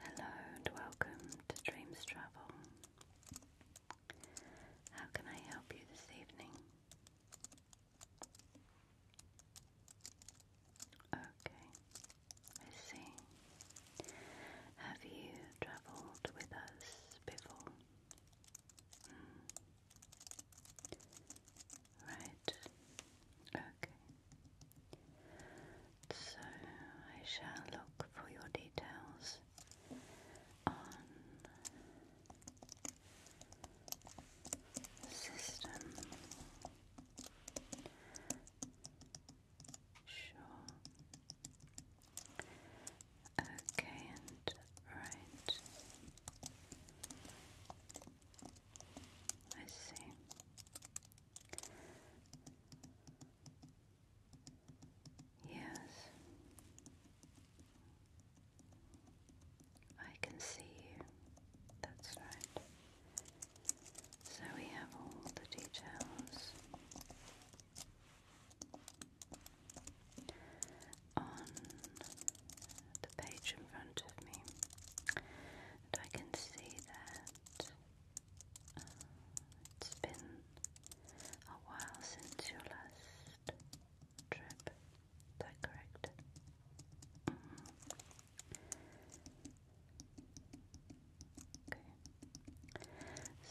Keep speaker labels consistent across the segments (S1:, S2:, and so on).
S1: Hello and welcome to Dreams Travel. How can I help you this evening? Okay, I see. Have you travelled with us before? Hmm. Right, okay. So I shall look for your details on system. Sure. Okay, and right. I see. Yes. I can see you. That's right. So we have all the details on the page in front of me, I can see that uh, it's been a while since your last trip. Is that mm-hmm. Okay.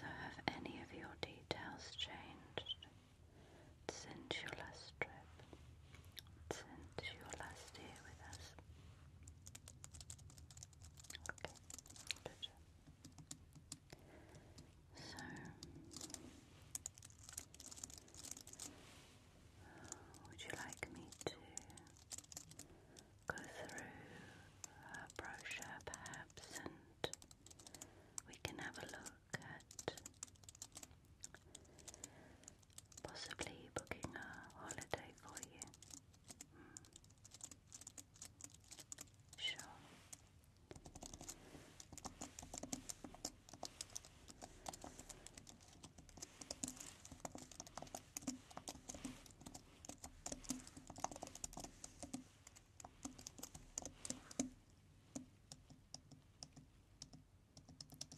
S1: So, have any of your details changed? since your last trip, since your last day with us. Okay, So, would you like me to go through a brochure perhaps and we can have a look? at possibly booking a holiday for you. Mm. Sure. Okay.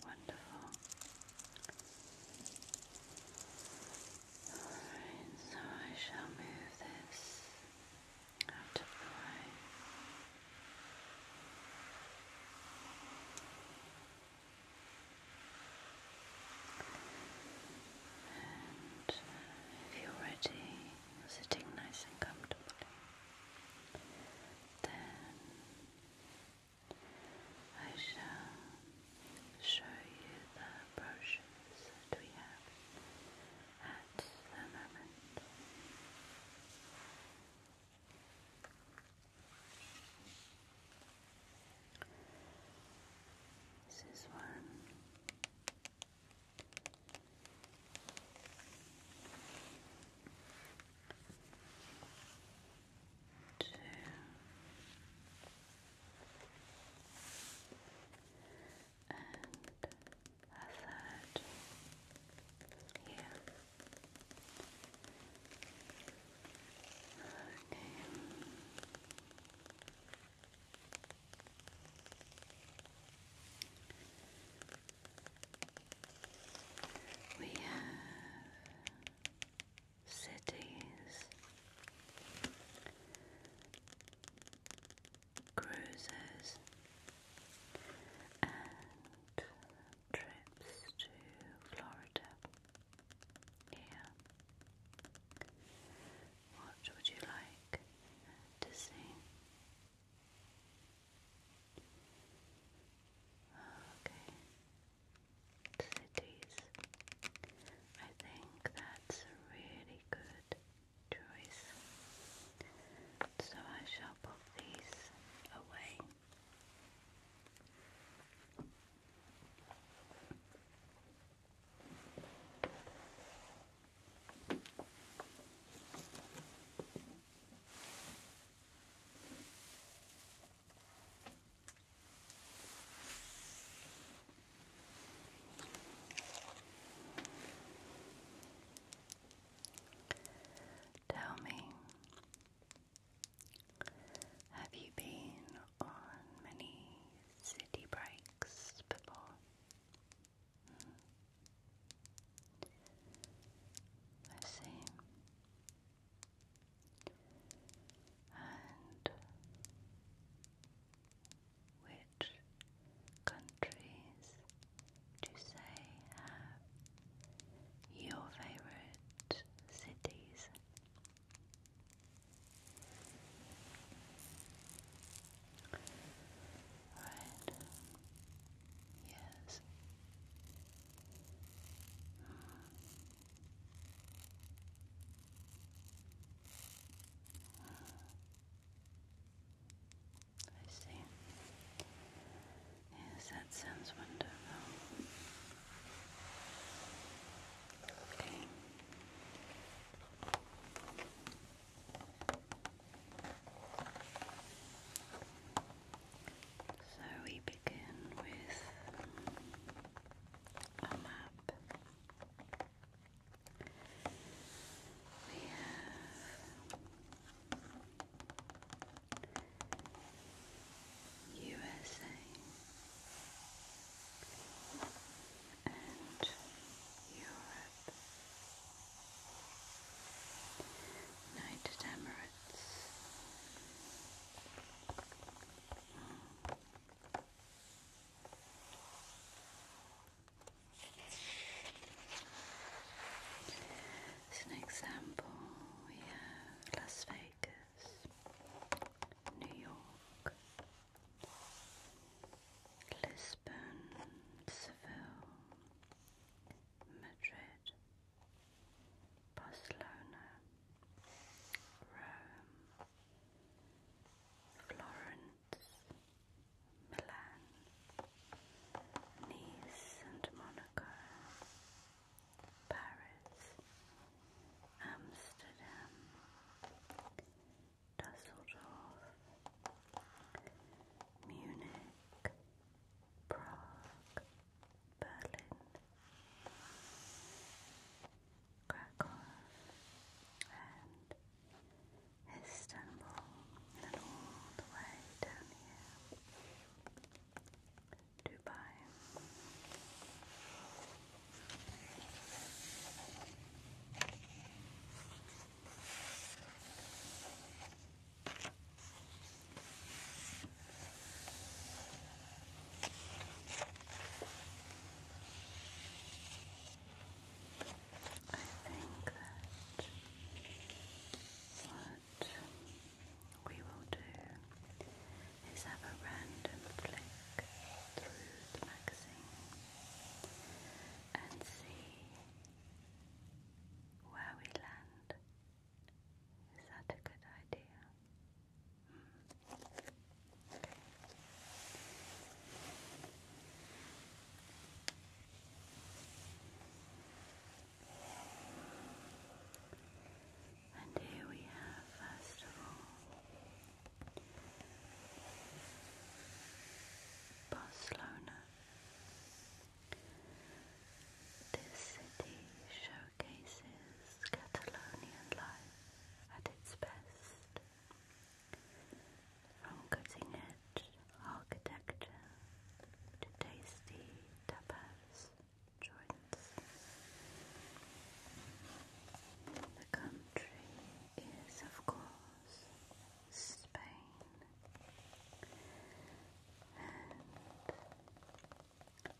S1: Wonderful. Alright, so I shall move this out of the way. And uh, if you're ready, sitting nice and comfortably, then I shall show you the brochures that we have at the moment. This is one two, and a third here. Okay. We have cities, cruises, and trips to Florida. Here, what would you like to see? Okay. Cities. I think that's a really good choice. So I shall put these away. Tell me, have you been on many city breaks before? Hmm. I see. And which countries do you say have your favorite cities? Right. Yes. I see. Yes, that sounds wonderful. Okay. So we begin with a map. We have USA and Europe. United Emirates. As an example, we have Las Vegas, New York, Lisbon, Seville, Madrid. Barcelona, Rome, Florence, Milan, Nice and Monaco, Paris, Amsterdam, Dusseldorf, Munich, Prague, Berlin, Krakow, and Istanbul, and all the way down here. Dubai think that what we will do is have a random flick through the magazine and see where we land. Is that a good idea? And here we have, first of all, Barcelona this city showcases Catalonian life at its best. From cutting edge architecture to tasty tapas joints, the country is, of course, Spain. And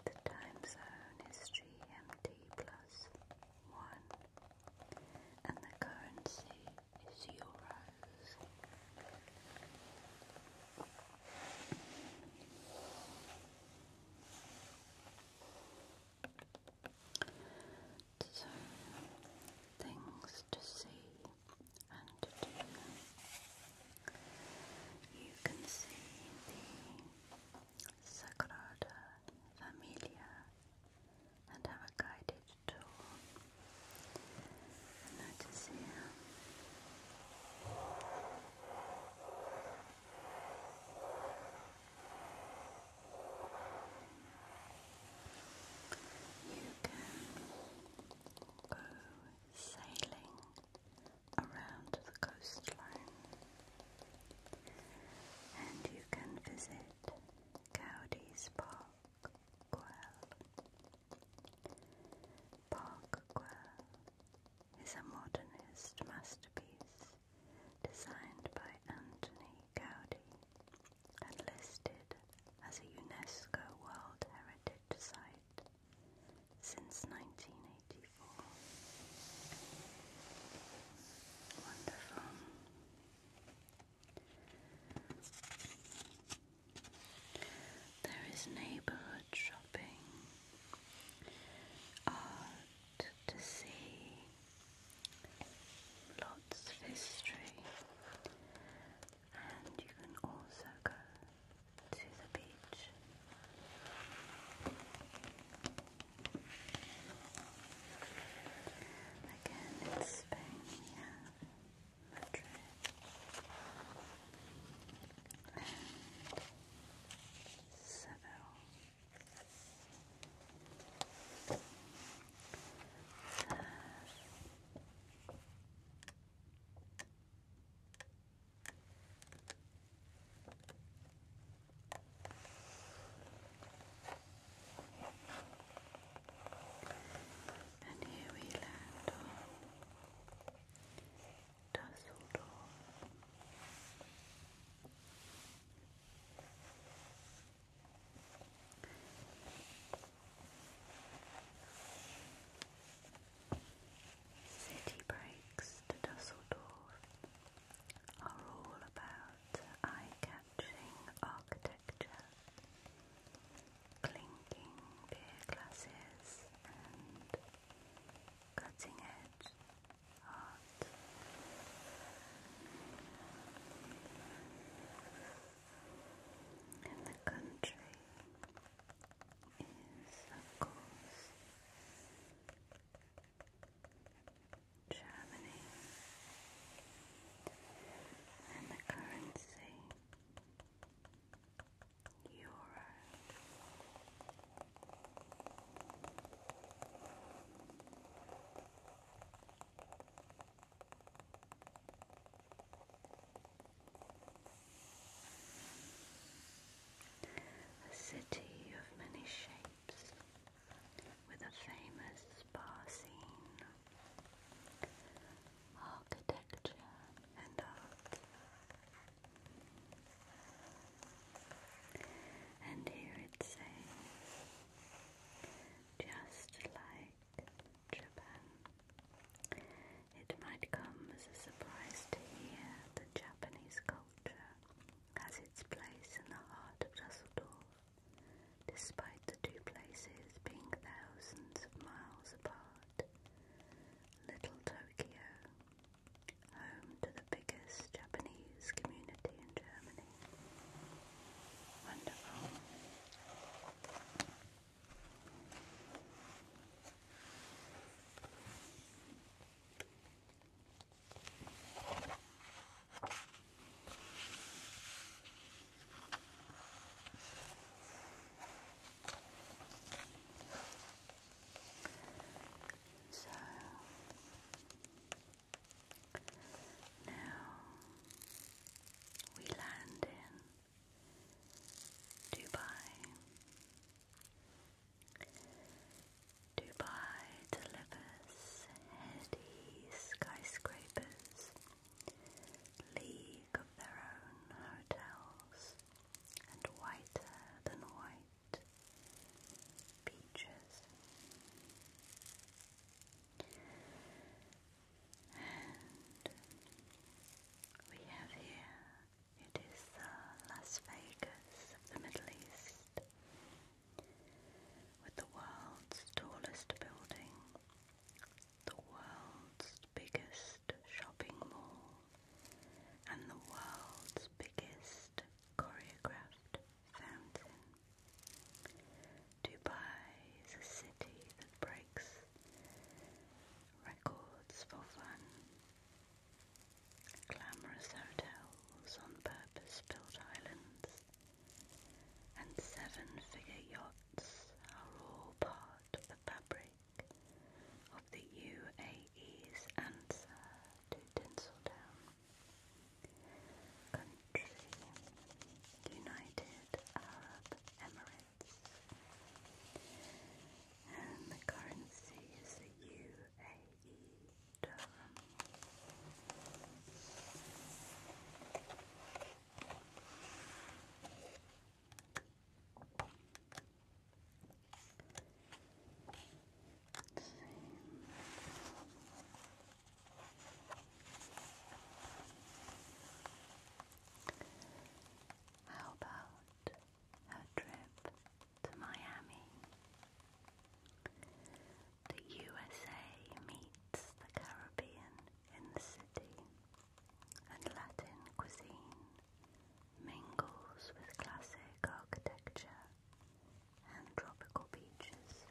S1: the time zone is GMT plus one, and the currency is euros. So, things to see and you can see the Sagrada Familia and have a guided tour. notice here. You can go sailing around the coastline and you can visit Cowdees Park Quell. Park Quell is a modernist masterpiece designed by Anthony Gowdy and listed as a UNESCO World Heritage Site since 1984. Wonderful. There is neighbourhood shopping, art to see, lots of history, and you can also go to the beach. Again, in Spain we have Madrid Seville. Surf and here we land on Dusseldorf. City breaks to Dusseldorf are all about eye-catching architecture, clinking beer glasses and cutting-edge art in the country is, Germany, and the currency euro. A city of many shapes with a famous spa scene, architecture and art. And here it says, just like Japan. It might come as a surprise to hear that Japanese culture has its place in the heart of Dusseldorf, despite the two places being thousands of miles apart. Little Tokyo, home to the biggest Japanese community in Germany. Wonderful. So now we land in Dubai. Dubai delivers heady skyscrapers, league of their own hotels, and whiter than white beaches we have here, it is uh, Las Vegas of the Middle East, with the world's tallest building, the world's biggest shopping mall, and the world's biggest choreographed fountain. Dubai is a city that breaks records for fun. Glamorous hotels on purpose built islands and seven figure yachts are all part of the fabric of the UAE's answer to Tinseltown. Country United Arab Emirates. And the currency is the UAE dirham. Let's see. How about a trip to Miami? The USA meets the Caribbean in the city, and Latin cuisine mingles with classic architecture and tropical beaches.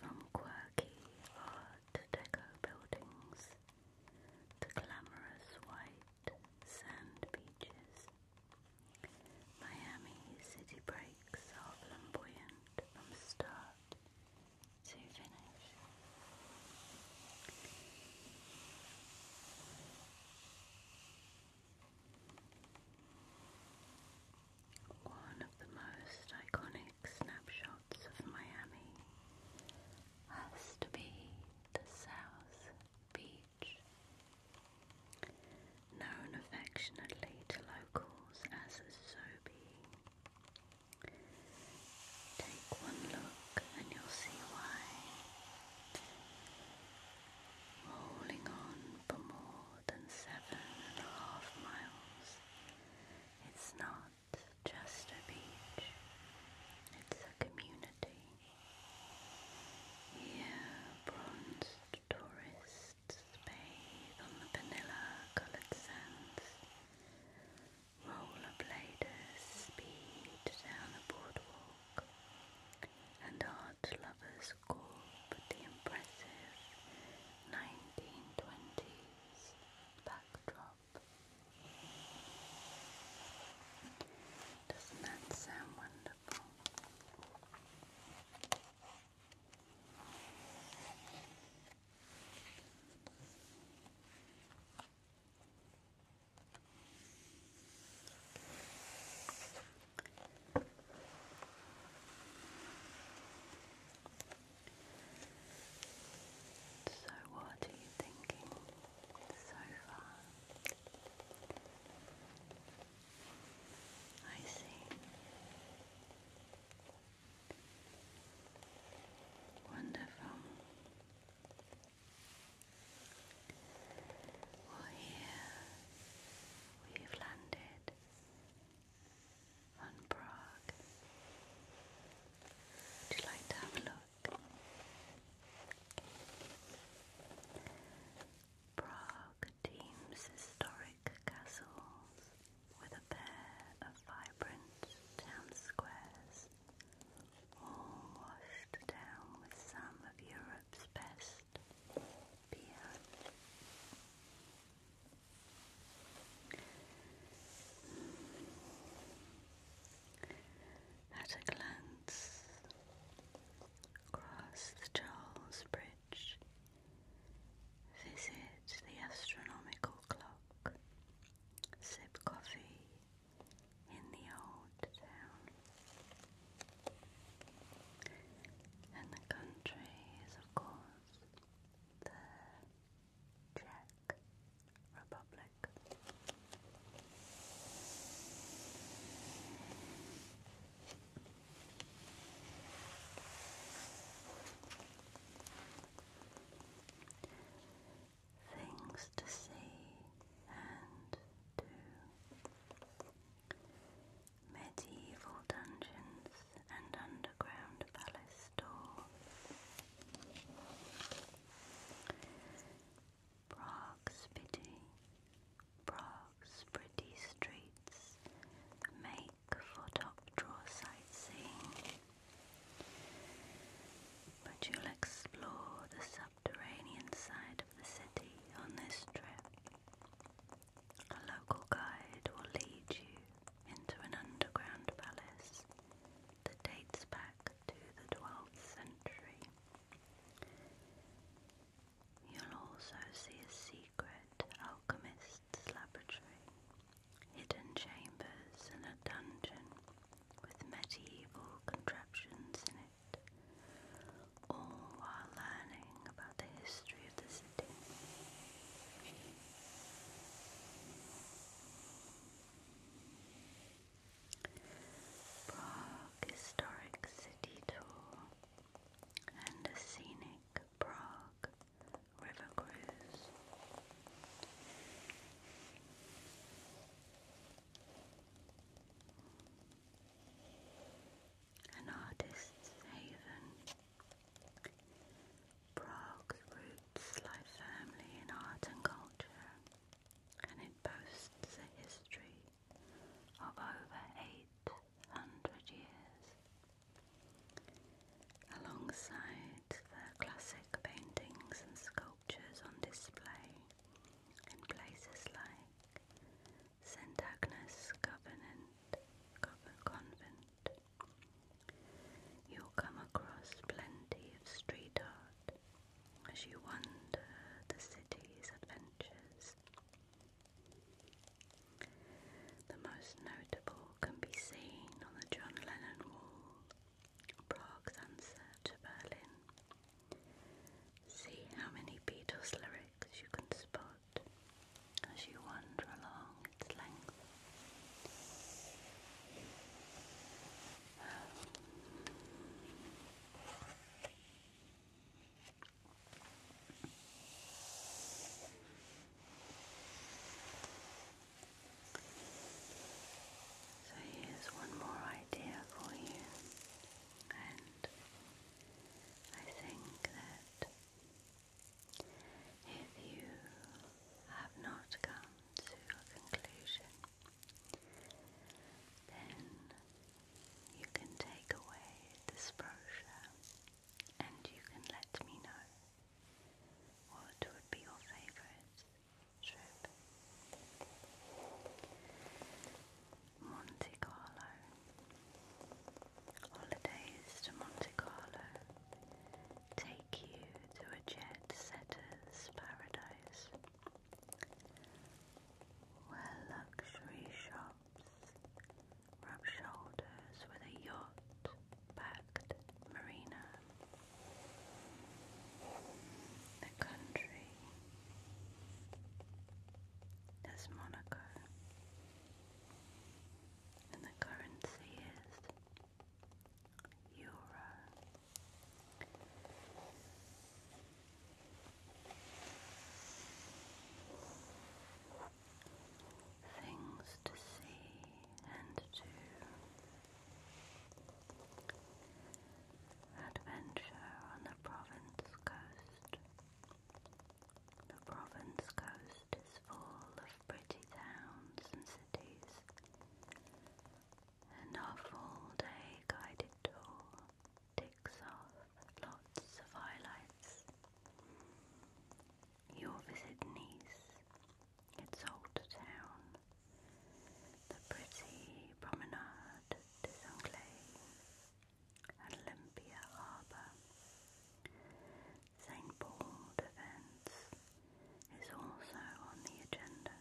S1: From quirky art deco buildings to glamorous white sand beaches, Miami city breaks are flamboyant from start to finish. One of the most iconic snapshots of Miami has to be the South Beach, known affectionately to locals as Zobi. Take one look and you'll see why. Rolling on for more than seven and a half miles. It's not just a beach, it's a community. Here, bronzed tourists bathe on the vanilla coloured sands. Rollerbladers speed down the boardwalk, and our Lovers' lovers called the impressive 1920s backdrop. Doesn't that sound wonderful? So, what are you thinking so far? I see. Wonderful. Well, here We've landed on Prague. Would you like to have a look? Prague teams historic castles with a pair of vibrant town squares, all washed down with some of Europe's best just beyond. At a glance across the Charles Bridge, visit the astronomical clock, sip coffee in the old town. And the country is, of course, the Czech Republic. Things to see and do medieval dungeons and underground palace store. Prague's pity, Prague's pretty streets make for top drawer sightseeing, but you'll explore the subterranean side of the city on this trip. A local guide will lead you into an underground palace that dates back to the 12th century. You'll also see a secret alchemist's laboratory, hidden chambers, and a dungeon with medieval contraptions in it all while learning about the history of the city. Prague Historic City Tour and a scenic Prague River Cruise an artist's haven. Prague's roots lie firmly in art and culture, and it boasts a history of over 800 years. Alongside the classic paintings and sculptures on display in places like St. Agnes Covenant, Convent. You'll come across plenty of street art as you wander the city's adventures. The most notable can be seen on the John Lennon Wall, Prague's answer to Berlin. See how many Beatles lyrics tracks you can spot as you wander along its length. So here's one more idea for you, and I think that if you have not come to a conclusion, then you can take away this brochure and you can let me know what would be your favorite trip. Monte Carlo. Holidays to Monte Carlo take you to a jet setter's paradise where luxury shops rub shoulders with a yacht backed marina. The country there's Monaco, and the currency is euro. Things to see and to adventure on the province coast. The province coast is full of pretty towns and cities. And our full-day guided tour ticks off lots of highlights. You'll visit Nice, its old town, the pretty promenade des Anglais, Olympia Harbour. St Paul Defence is also on the agenda.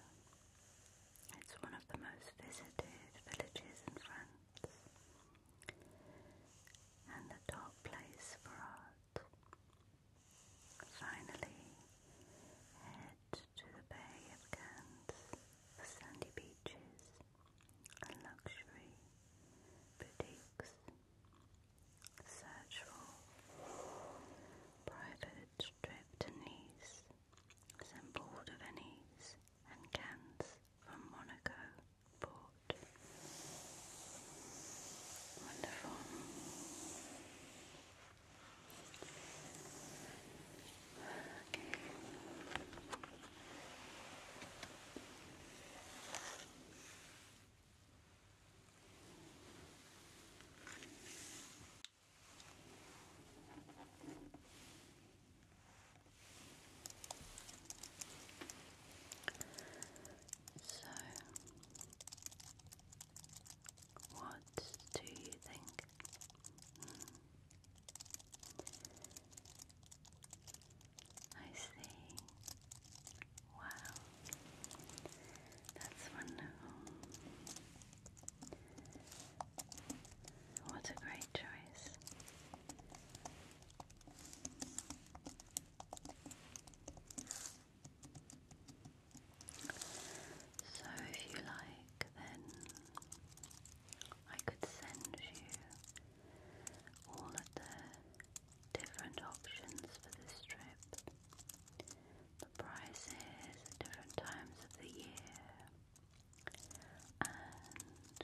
S1: It's one of the most visited villages in France and the top place for art. Finally, head to the Bay of Cannes for sandy beaches and luxury boutiques. Search for private trip to Nice, St. Paul de Venice, and Cannes from Monaco Port. Wonderful. Okay. So, what do you think? Hmm. I see. Wow. That's wonderful. What a great choice. So, if you like, then I could send you all of the different options for this trip, the prices different times of the year, and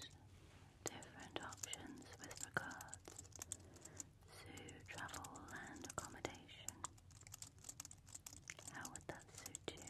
S1: different options with regards to travel and accommodation. How would that suit you?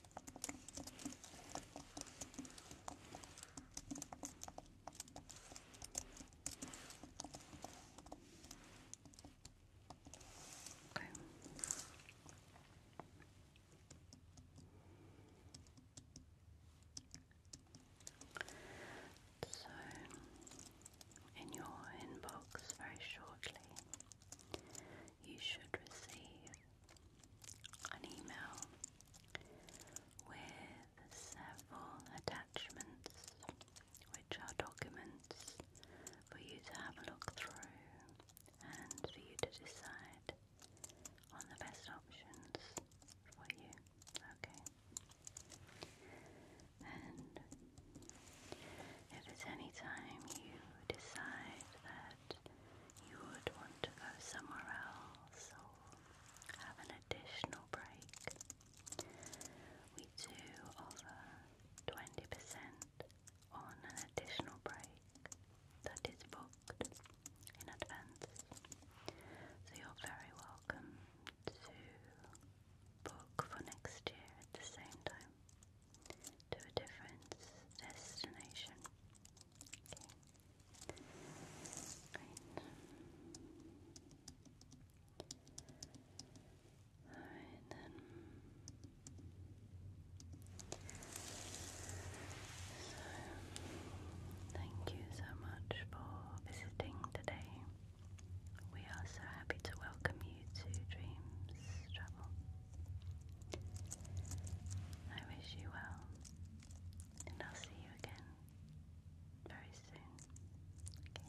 S1: Okay. So, in your inbox very shortly, you should receive an email with several attachments, which are documents for you to have a look through and for you to decide on the best options for you. Okay. And if at any time you decide that you would want to go somewhere else or have an additional break, we do offer 20% on an additional break that is booked in advance. So you're very welcome to book for next year at the same time to a different destination. Great. Alright So, thank you so much for visiting today. We are so happy to welcome you to Dreams Travel. I wish you well, and I'll see you again very soon. Okay.